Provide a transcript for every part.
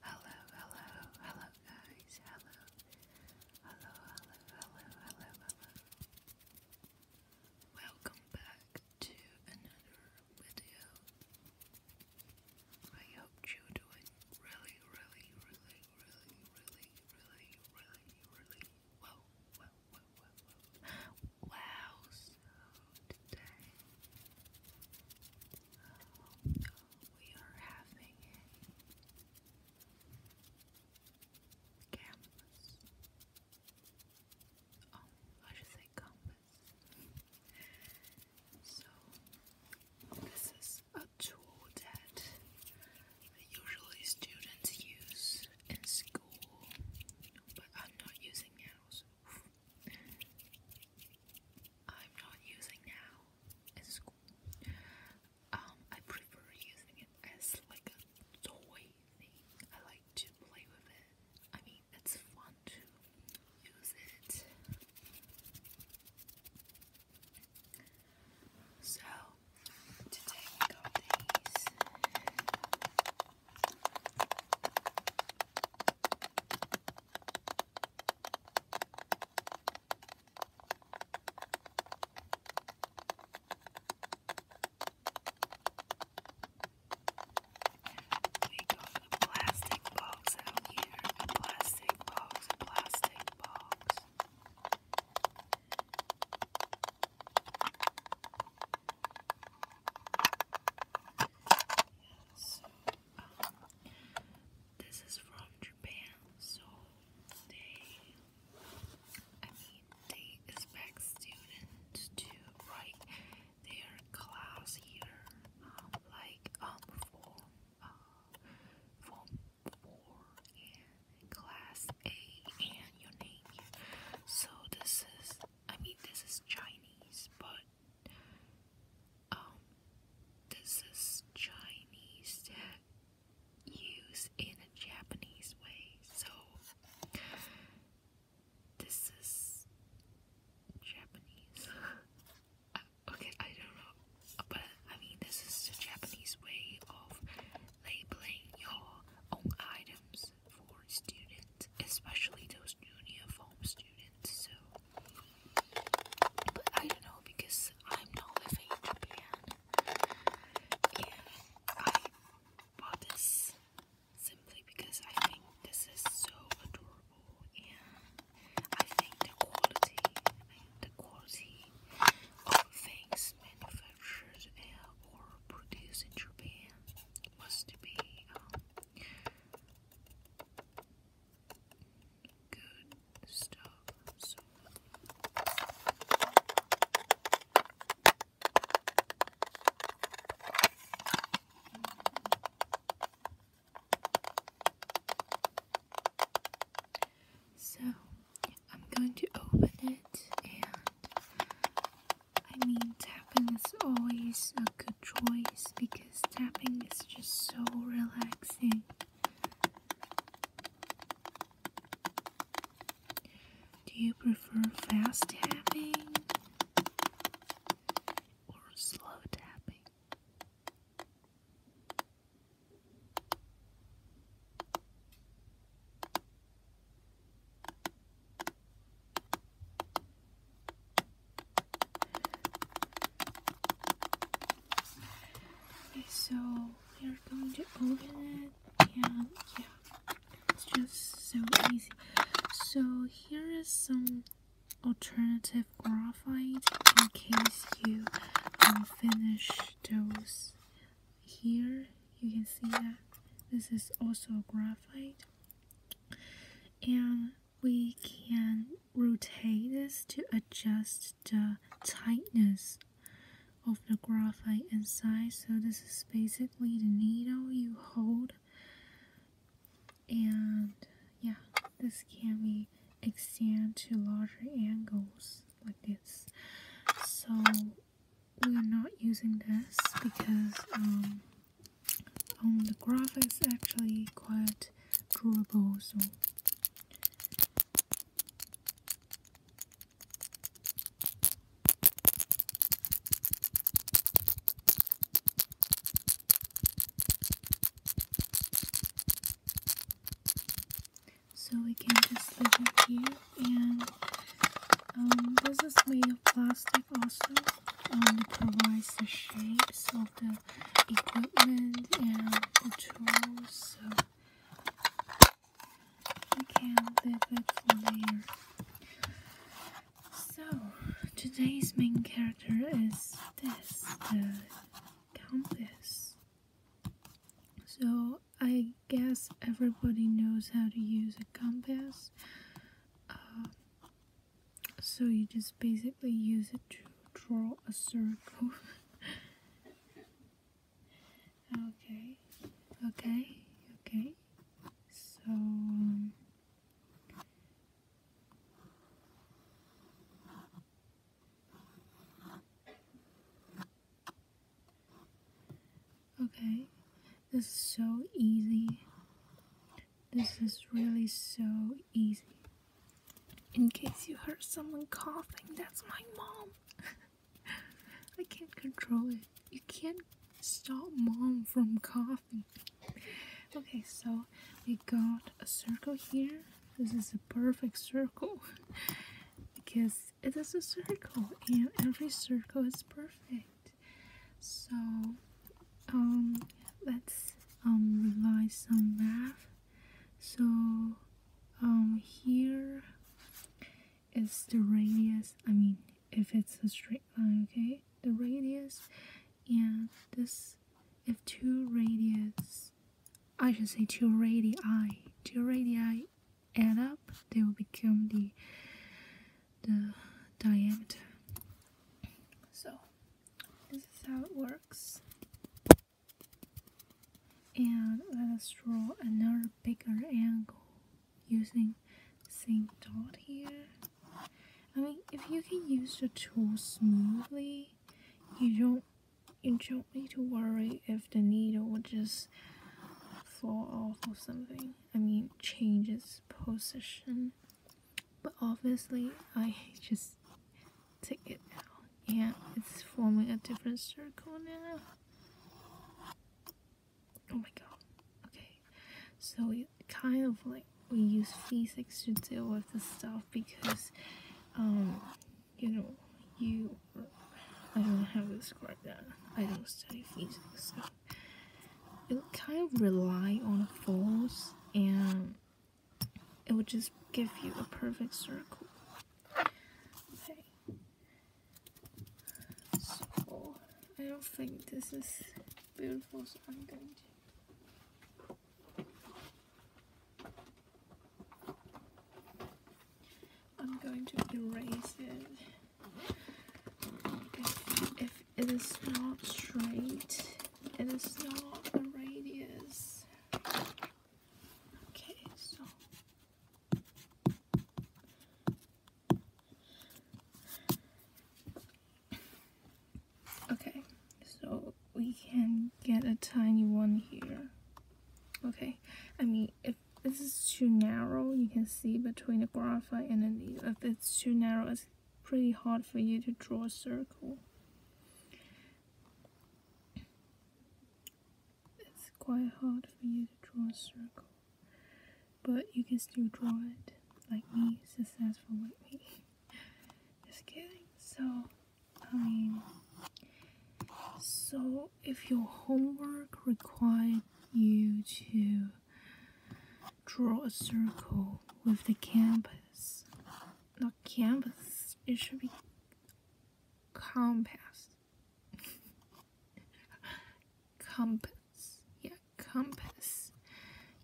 Hello, hello, hello, guys. Hello, hello, hello, hello, hello, Welcome back to another video. I hope you're doing really, really, really really, really, really, really, really well, well, well, well, well. Wow, so today we are having a campus. Oh, I should say compass. So, this is a tool that usually students use in school, but I'm not using now. I'm not using now in school. Um, I prefer using it as like a toy I like to play with it. I mean, it's fun to use it. So today we got these. We got a plastic box out here. plastic box, plastic box. So, um, this is from Japan, so they, I mean, they expect students to write their class here, um, like, um, uh, Form 4 and Class A and your name. So this is, I mean um, this is Chinese, but um, this is Chinese that used in a Japanese way. So this is Japanese. Uh, okay, I don't know. But I mean, this is a Japanese way of labeling your own items for students, especially those uniform students. So, but I don't know because I'm not living in Japan, and I bought this simply because I think this is so adorable, and I think the quality, I think the quality all things manufactured or produced in Japan was to be um, good stuff. So. So, I'm going to open it and I mean tapping is always a good choice because tapping is just so relaxing. Do you prefer fast tapping or slow tapping? so we are going to open it and yeah, it's just so easy. So here is some alternative graphite in case you finish those here you can see that this is also graphite and we can rotate this to adjust the tightness of the graphite inside so this is basically the needle you hold and yeah this can be extended to larger angles like this so we're not using this because um, on um, the graphics it's actually quite drawable so so we can just leave it here and um, this is made of plastic also um, it provides the shapes of the equipment and the tools so we can leave it for later so today's main character is this the compass so I guess everybody knows how to use a compass. Uh, so you just basically use it to draw a circle. okay, okay, okay. So. Um, Okay, this is so easy. This is really so easy. In case you heard someone coughing, that's my mom. I can't control it. You can't stop mom from coughing. Okay, so we got a circle here. This is a perfect circle because it is a circle and every circle is perfect so um let's um revise some math so um here is the radius I mean if it's a straight line okay the radius and this if two radius I should say two radii two radii add up, they will become the the diameter. So this is how it works. And let us draw another bigger angle using same dot here. I mean, if you can use the tool smoothly, you don't you don't need to worry if the needle will just fall off or something. I mean, change its position. But obviously, I just take it out. Yeah, it's forming a different circle now. Oh my god. Okay. So, we kind of like, we use physics to deal with this stuff because, um, you know, you, I don't have how to describe that. I don't study physics, so it kind of rely on a force and it would just give you a perfect circle. Okay. So, I don't think this is beautiful, so I'm going to I'm going to erase it if, it is not straight, it is not a radius. Okay, so okay, so we can get a tiny one here. Okay, I mean if this is too narrow you can see between the graphite and the if it's too narrow it's pretty hard for you to draw a circle it's quite hard for you to draw a circle but you can still draw it like me successful with me just kidding so I mean so if your homework required you to draw a circle with the campus, not campus, it should be compass. compass, yeah, compass.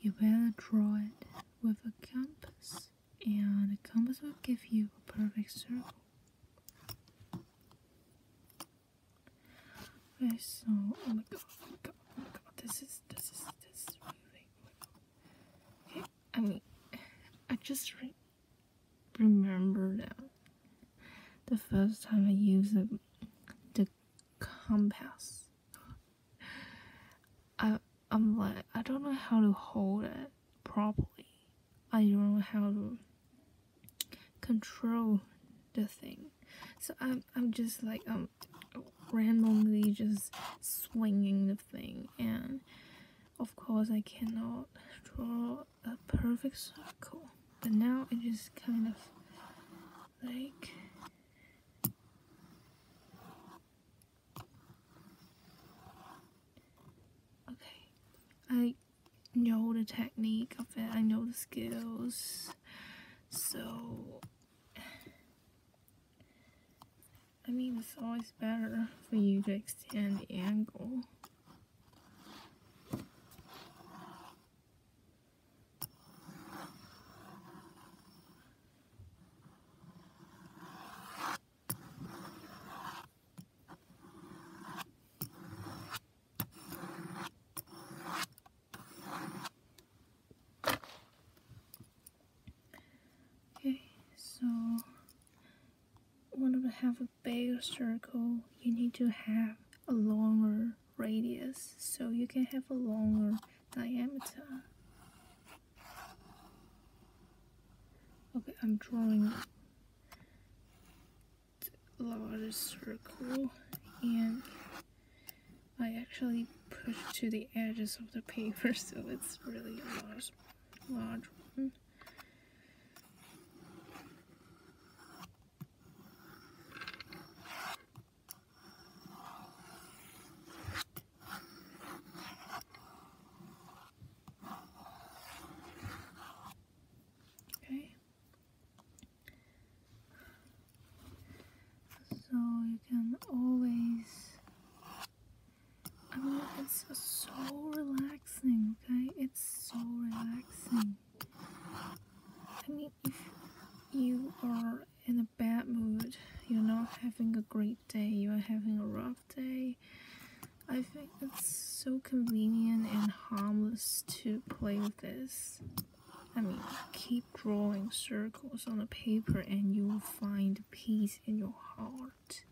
You better draw it with a compass, and the compass will give you a perfect circle so oh my god, oh my god, oh my god, this is this is this is I mean, I just remember that the first time I used the, the compass, I I'm like I don't know how to hold it properly. I don't know how to control the thing. So I'm, I'm just like um randomly just swinging the thing and of course I cannot draw a perfect circle but now it is kind of like okay I know the technique of it, I know the skills. So, I mean, it's always better for you to extend the angle. Okay, so want to have a bigger circle, you need to have a longer radius, so you can have a longer diameter. Okay, I'm drawing large circle and I actually pushed to the edges of the paper so it's really a large, large one. Okay so you can always I mean it's so relaxing okay it's so relaxing I mean if you are in a bad mood you're not having a great day you're having a rough day I think it's so convenient and harmless to play with this. I mean, keep drawing circles on the paper and you will find peace in your heart.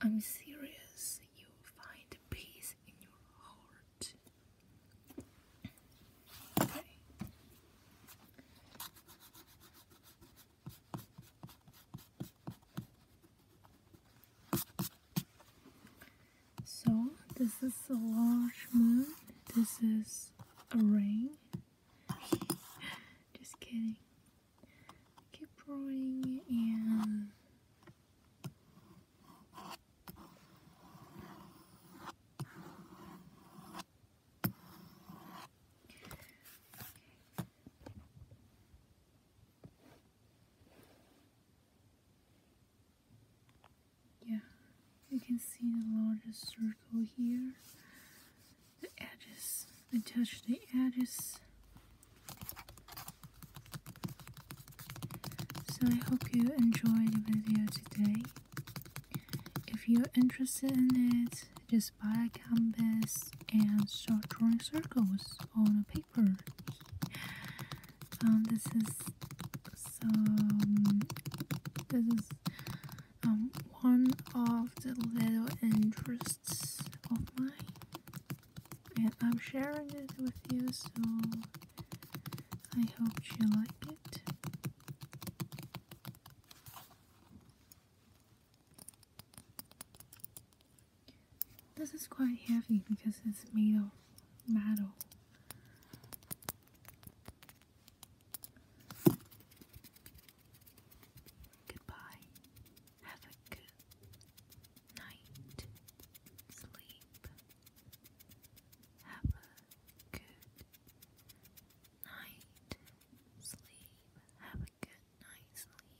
I'm serious, you will find peace in your heart. So this is a large moon. This is a ring. Just kidding. Keep rolling and yeah, you can see the largest circle here. The edges, I touch the edges. So I hope you enjoyed the video today. If you're interested in it, just buy a compass and start drawing circles on a paper. Um, this is so. This is um, one of the little interests of mine, and I'm sharing it with you. So I hope you like it. This is quite heavy because it's made of metal. Goodbye. Have a good night. Sleep. Have a good night. Sleep. Have a good night. Sleep.